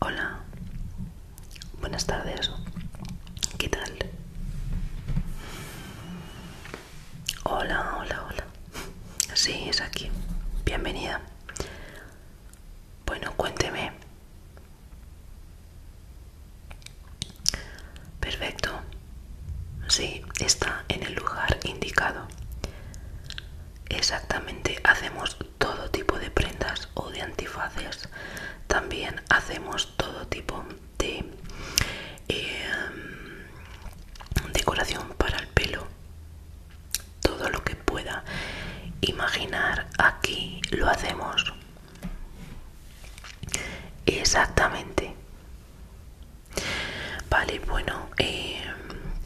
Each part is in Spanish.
Hola, buenas tardes. ¿Qué tal? Hola, hola, hola. Sí, es aquí. Bienvenida. Bueno, cuénteme. Perfecto. Sí, está en el lugar indicado. Exactamente, hacemos todo tipo de prendas o de antifaces. También hacemos todo tipo de em, decoración para el pelo. Todo lo que pueda imaginar aquí lo hacemos. Exactamente. Vale, bueno, eh,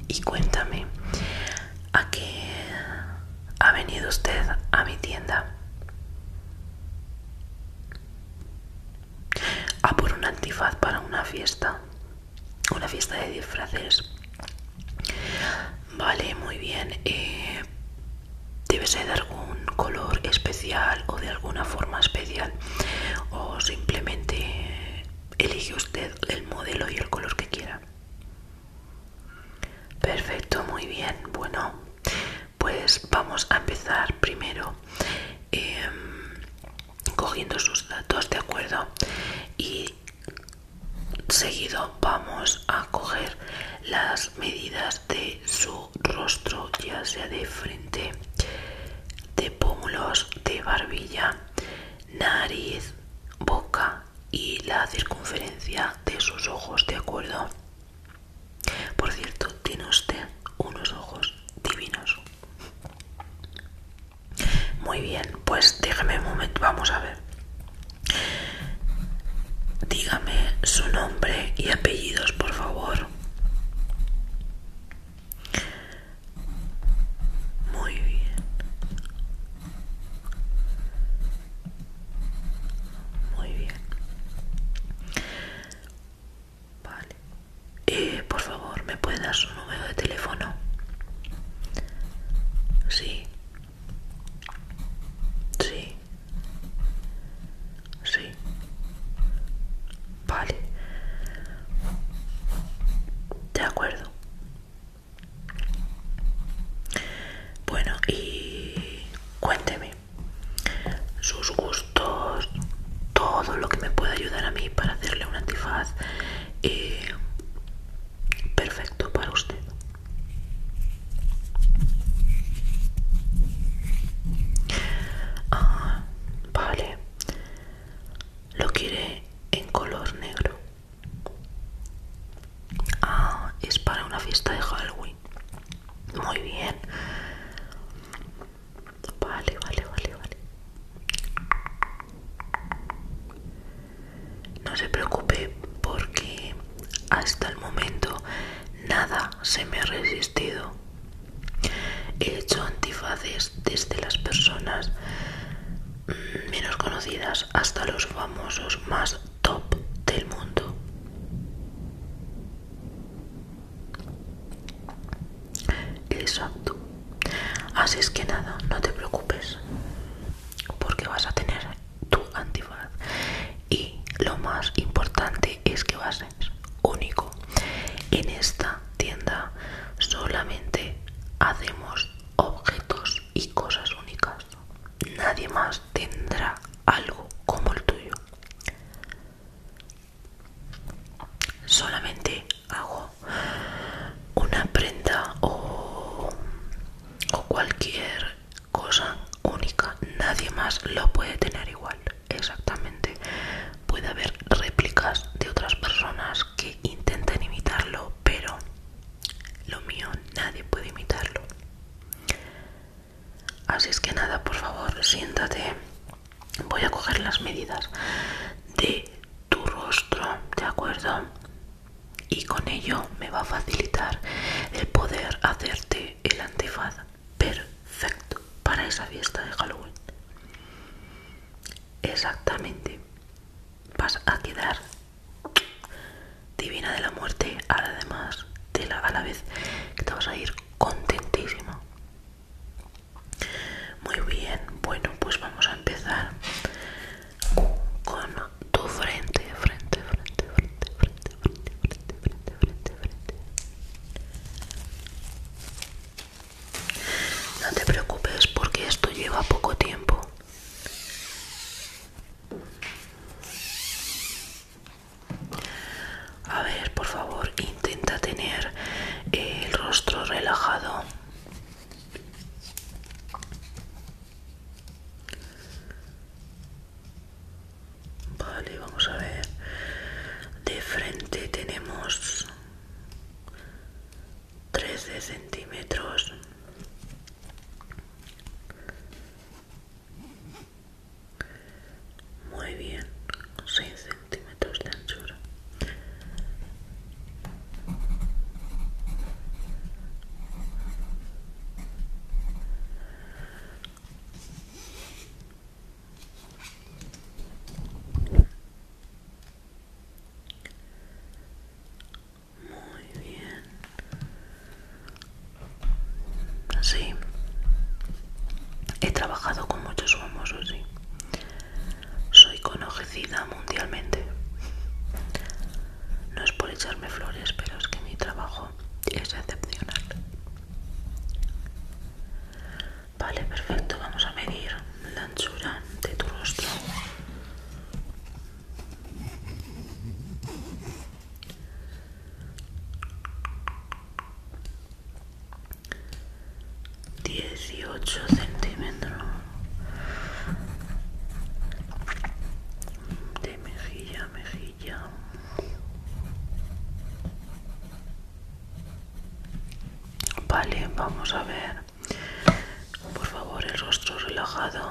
y cuéntame, ¿a qué ha venido usted a mi tienda? A ah, por un antifaz para una fiesta, una fiesta de disfraces. Vale, muy bien. Eh, debe ser de algún color especial o de alguna forma especial o simplemente Elige usted el modelo y el color que quiera. Perfecto, muy bien. Bueno, pues vamos a empezar primero em, cogiendo sus datos, ¿de acuerdo? Y seguido vamos a coger las medidas de su rostro, ya sea de frente, de pómulos, de barbilla, nariz, boca y la circunferencia de sus ojos, ¿de acuerdo? Por cierto, tiene usted unos ojos divinos. Muy bien, pues déjeme un momento, vamos a ver. Dígame su nombre y apellidos, por favor. Muy bien. Muy bien. Vale. Eh, por favor, ¿me puedes dar su número de teléfono? Sí. Sí. Sí. Vale. De acuerdo. Bueno, y cuénteme sus gustos, todo lo que me pueda ayudar a mí para hacerle un antifaz eh, perfecto para usted. Ah, vale. Lo quiere en color negro. Ah, es para una fiesta de Halloween. Muy bien. Vale, vale, vale, vale. No se preocupe porque hasta el momento nada se me ha resistido. He hecho antifaces desde las personas menos conocidas hasta los famosos más top del mundo. Exacto. Así es que nada, no te preocupes. Porque vas a tener tu antifaz. Y lo más importante es que vas a único. En esta tienda solamente hacemos objetos y cosas únicas. Nadie más tendrá algo como el tuyo. Solamente hago una prenda o cualquier cosa única. Nadie más lo puede tener igual exactamente. Puede haber réplicas de otras personas que intenten imitarlo, pero lo mío nadie puede imitarlo. Así es que nada, por favor, siéntate. Voy a coger las medidas de tu rostro, ¿de acuerdo? Y con ello me va a facilitar el poder hacerte el antifaz perfecto para esa fiesta de Halloween. Exactamente. Vas a quedar divina de la muerte, además de la, a la vez que te vas a ir contentísimo. Muy bien, bueno, pues vamos a empezar con tu frente, frente, frente, frente, frente, frente, frente, frente, no te preocupes porque esto lleva poco tiempo. A ver, por favor, intenta tener eh, el rostro relajado. Vale, vamos a ver. De frente tenemos 13 centímetros. Muy bien, 6 centímetros de anchura. Muy bien. Sí. He trabajado con muchos famosos, sí. Soy conocida mundialmente. No es por echarme flores, pero es que mi trabajo es excepcional. Vale, perfecto. Vamos a medir la anchura de tu rostro. Dieciocho centímetros de mejilla mejilla vale vamos a ver por favor el rostro relajado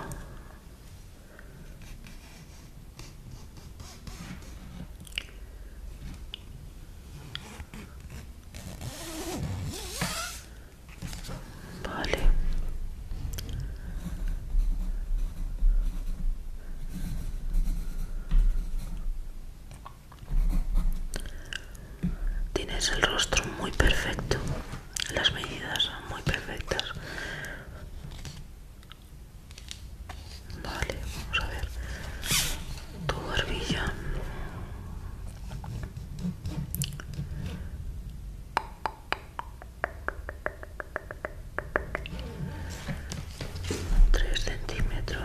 Vale, Tienes el rostro muy perfecto, las medidas muy perfectas. Vale, vamos a ver tu barbilla. 3 centímetros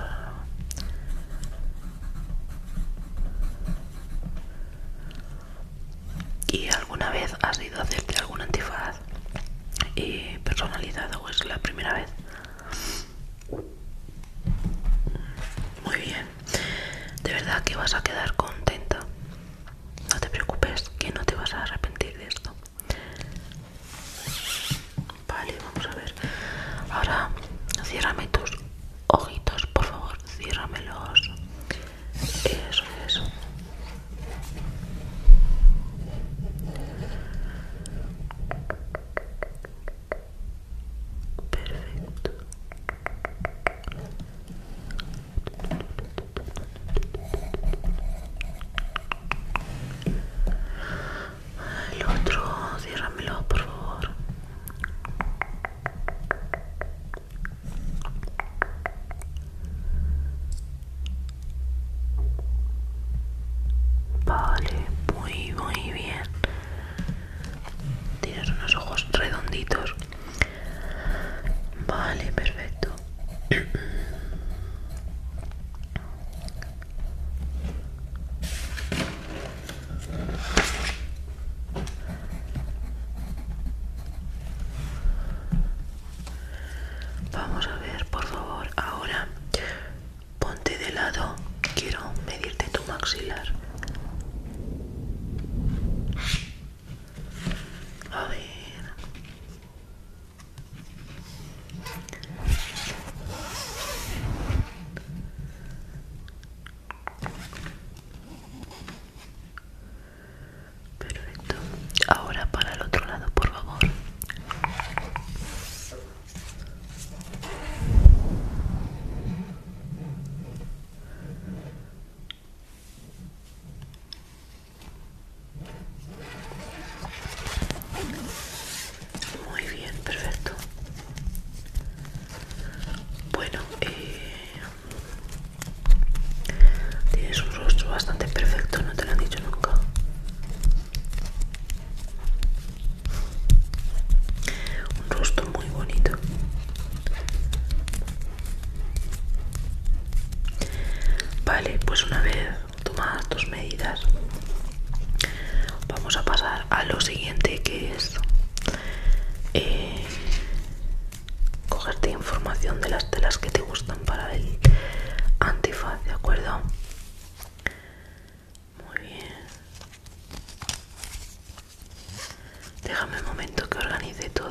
y alguna vez has ido a hacerte algún antifaz y personalizado o es la primera vez muy bien de verdad que vas a quedar contenta no te preocupes que no te vas a arrepentir de esto Vale, vamos a ver. Ahora, ciérrame tus ojitos, por favor. Ciérramelos. Eso Perfecto. El otro, ciérramelo por favor. Vale, muy muy bien. Tienes unos ojos redonditos. Vale, perfecto. Vamos a ver, por favor, ahora ponte de lado. Quiero medirte tu maxilar. A ver. Perfecto. Ahora para el otro lado, por favor. Muy bien, perfecto. Bueno, eh, tienes un rostro bastante perfecto, no te lo han dicho nunca. Un rostro muy bonito. Vale, pues una vez tomadas tus medidas, vamos a pasar a lo siguiente que es eh, cogerte información de las telas que te gustan para el antifaz, ¿de acuerdo? Muy bien. Déjame un momento que organice todo.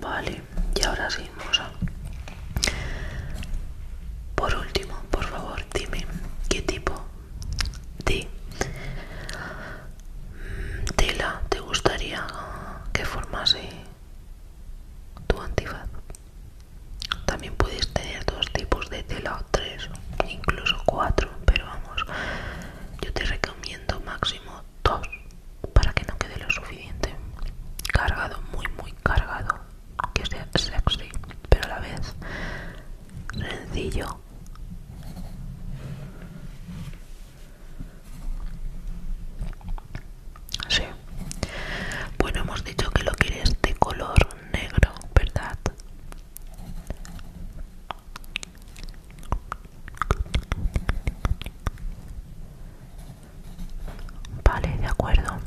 Vale, y ahora sí, a... Por último, por favor, dime qué tipo de mm, tela te gustaría que formase tu antifaz. También puedes tener dos tipos de tela, tres, incluso cuatro, pero vamos, yo te recomiendo máximo dos para que no quede lo suficiente cargado muy muy cargado que sea sexy pero a la vez sencillo sí bueno hemos dicho que lo quieres de color negro verdad Vale, de acuerdo.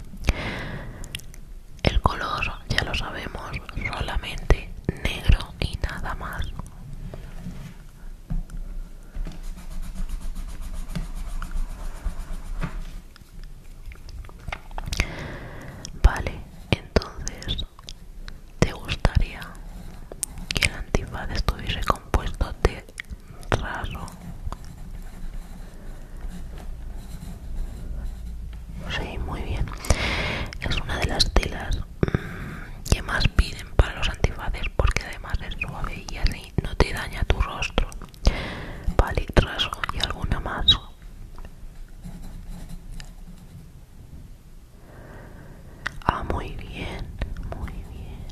El color, ya lo sabemos, solamente negro y nada más. Vale, entonces ¿Te gustaría que el antifaz estuviese compuesto de raso? Sí, muy bien. Es una de las telas mm, que más piden para los antifaces porque además es suave y así no te daña tu rostro. Vale, raso y alguna más. Ah, muy bien, muy bien.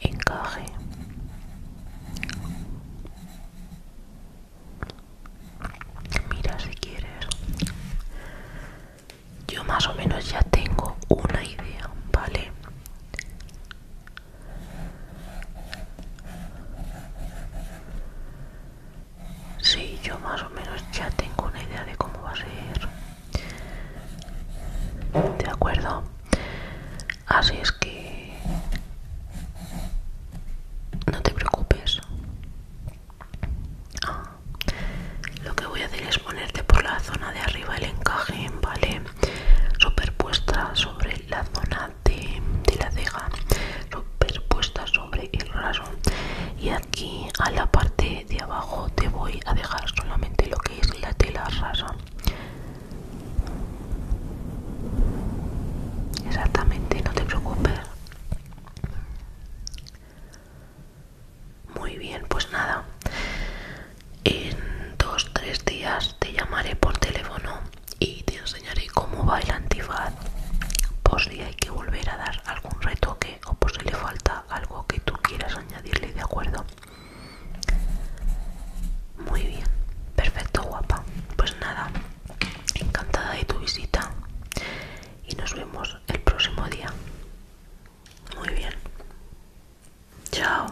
Encaje. Mira si quieres. Yo más o menos ya tengo una idea, ¿vale? Sí, yo más o menos ya tengo una idea de cómo va a ser. De acuerdo. Así es que... No te preocupes. Ah, lo que voy a hacer es ponerte por la zona de arriba el encaje, ¿vale? Superpuesta sobre la zona de, la ceja superpuesta sobre el raso y aquí a la parte de abajo te voy a dejar solamente lo que es la tela raso exactamente no te preocupes muy bien pues nada en dos tres días te llamaré por teléfono y te enseñaré cómo va el antifaz por pues si hay que volver a dar algún retoque o por pues si le falta algo que tú quieras añadirle, ¿de acuerdo? Muy bien, perfecto guapa. Pues nada, encantada de tu visita y nos vemos el próximo día. Muy bien. Chao.